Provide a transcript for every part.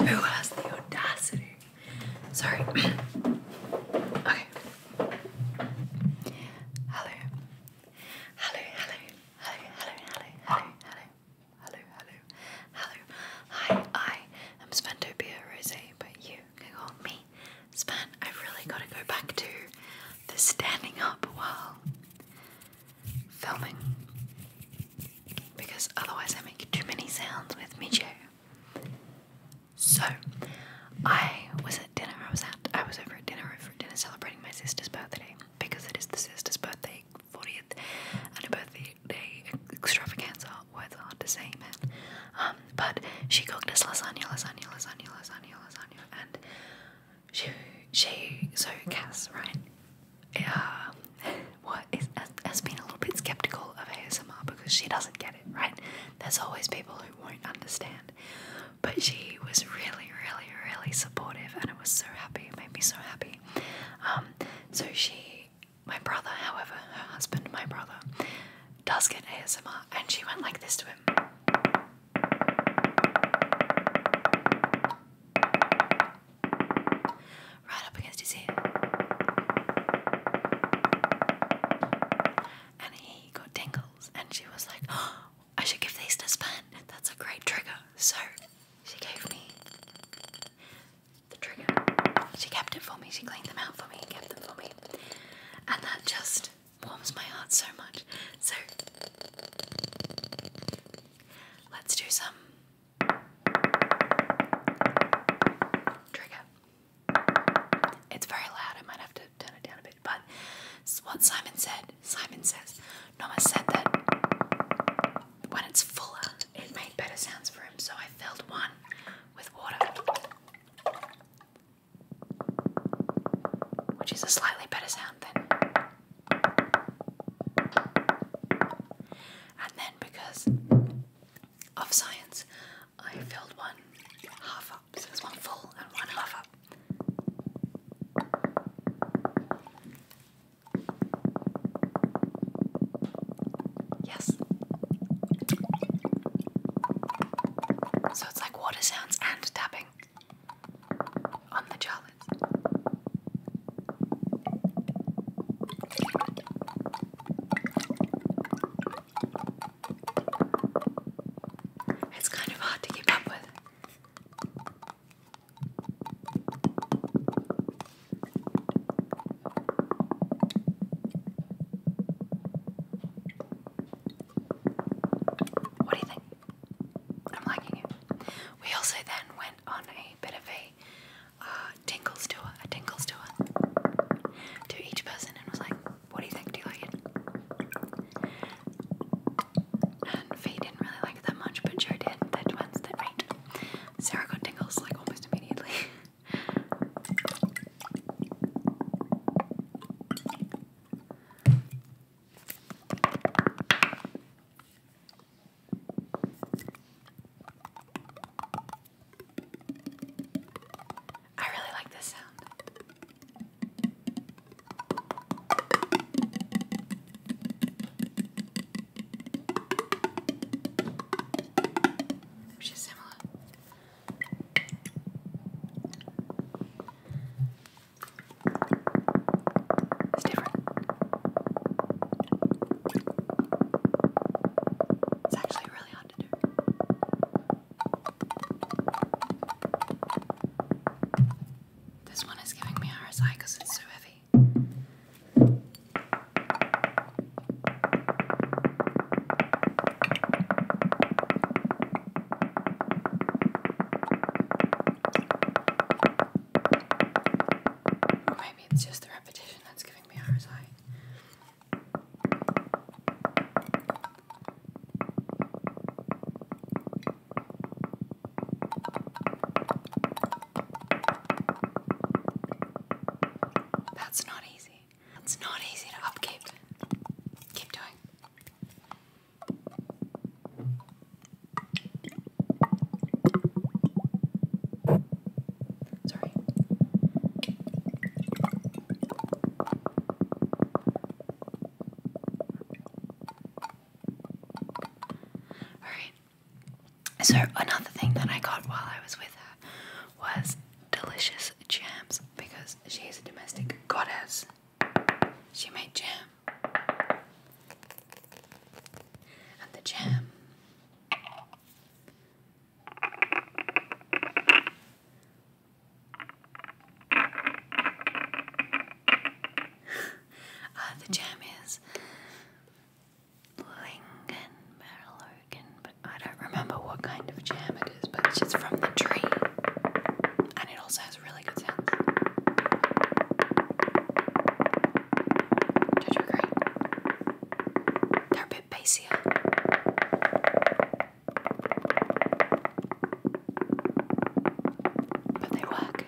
Who has the audacity? Sorry. okay. Hello. Hello, hello, hello, hello, hello, hello, hello, hello, Hi, I am Spantopia Rose, but you can call me Span. I've really got to go back to the standing up while filming because otherwise I make too many sounds with me chair. So I was at dinner. I was at I was over at dinner over at dinner celebrating my sister's birthday because it is the sister's birthday, 40th and a birthday day extravaganza. Words are hard to say, man. Um, but she cooked us lasagna, lasagna, lasagna, lasagna, lasagna, and she she so Cass right uh, what is, has been a little bit skeptical of ASMR because she doesn't get it, right? There's always people who won't understand. But she was really, really, really supportive, and it was so happy. made me so happy. Um, so she, my brother, however, her husband, my brother, does get ASMR, and she went like this to him. Right up against his ear. And he got tingles, and she was like, oh, I should give these to Span. That's a great trigger. So she gave me the trigger. She kept it for me, she cleaned them out for me, kept them for me. And that just warms my heart so much. So let's do some Trigger. It's very loud. I might have to turn it down a bit. But what Simon said, Simon says, Noma said that when it's fuller, it made better sounds for him. So I filled one with water, which is a slightly better sound than and then because of science, I filled one half up. So there's one full and one half up. Yes. So it's like water sounds and tapping on the jar it's kind of hard to keep up with. What do you think? I'm liking it. We also then went on a bit of a uh, tingles tour, a tingles tour to each person and was like, what do you think? Do you like it? And Faye didn't really like it that much, but Joe did. they twins, they're Sarah got tingles like almost immediately. I really like this sound. Which is similar. It's different. It's actually really hard to do. This one is giving me RSI because it's so heavy. Or maybe it's just the repetition that's giving me RSI. That's not easy. It's not easy to upkeep. Keep doing. Sorry. Alright. So, another thing that I got while I was with her was delicious jams because she's a domestic goddess. She made jam. And the jam. uh, the jam is Lincoln barrel but I don't remember what kind of jam it is, but it's just from the tree. And it also has really good sense. They're a bit bassier. But they work.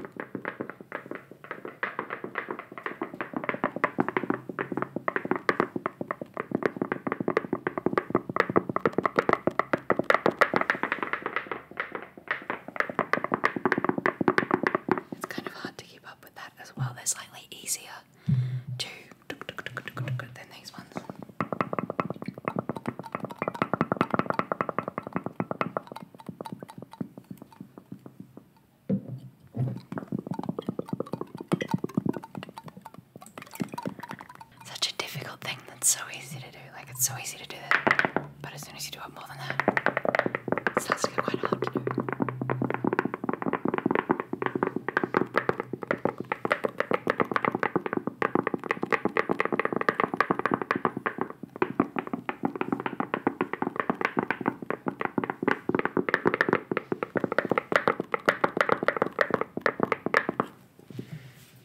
It's kind of hard to keep up with that as well. They're slightly easier to than these ones. Such a difficult thing that's so easy to do. Like it's so easy to do that, but as soon as you do it more than that, it starts to get quite hard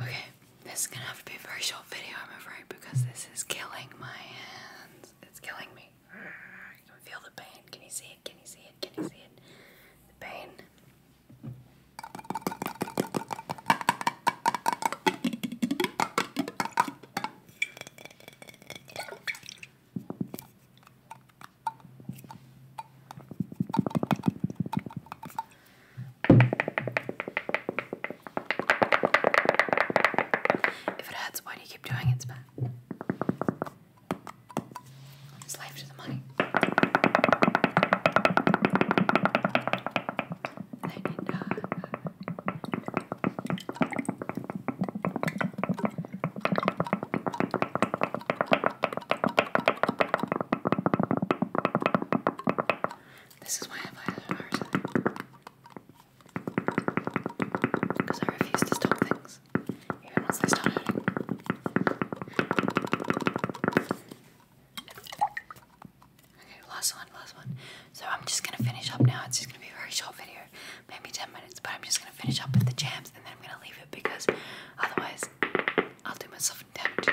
Okay, this is gonna have to be a very short video, I'm afraid, because this is killing my hands. It's killing me. I can feel the pain. Can you see it? Can you see it? Can you see it? The pain. If it hurts, why do you keep doing it, Spat? I'm a the money. They need to this is why I have eyeliner. Because I refuse to stop things, even once they start hurting. Okay, last one, last one. So I'm just gonna finish up now. It's just gonna be a very short video, maybe 10 minutes, but I'm just gonna finish up with the jams and then I'm gonna leave it because otherwise I'll do myself a debt.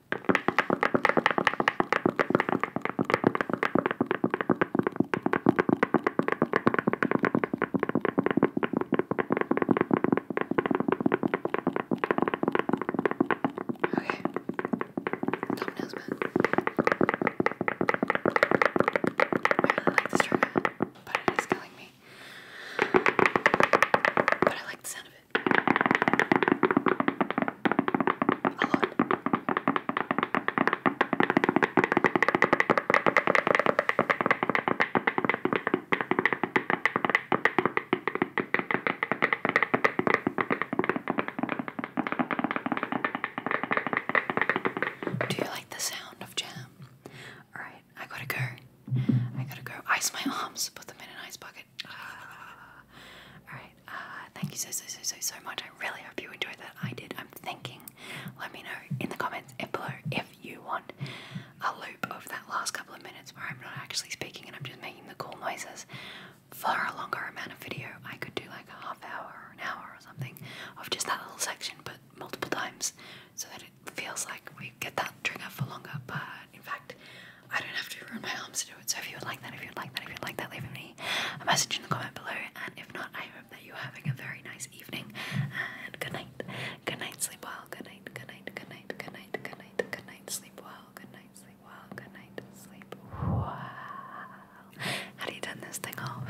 Okay. Thumbnails, man. I really like this trigger, but it is killing me. But I like the sound do you like the sound of jam? Alright, I gotta go. I gotta go. Ice my arms, put them in an ice bucket. Alright, uh, thank you so, so, so, so, so much. I really hope you enjoyed that. I did. I'm thinking, let me know in the comments below if you want a loop of that last couple of minutes where I'm not actually speaking and I'm just making the cool noises for a longer amount of video. I could do like a half hour or an hour or something of just that little section, but multiple times so that it feels like we get that trigger for longer. But in fact, I don't have to ruin my arms to do it. So if you would like that, if you would like that, if you would like that, leave me a message in the comment below. And if not, I hope that you're having a very nice evening. And good night. Good night, sleep well. Good night, good night, good night, good night, good night, good night, sleep well. Good night, sleep well. Good night, sleep well. How do you turn this thing off?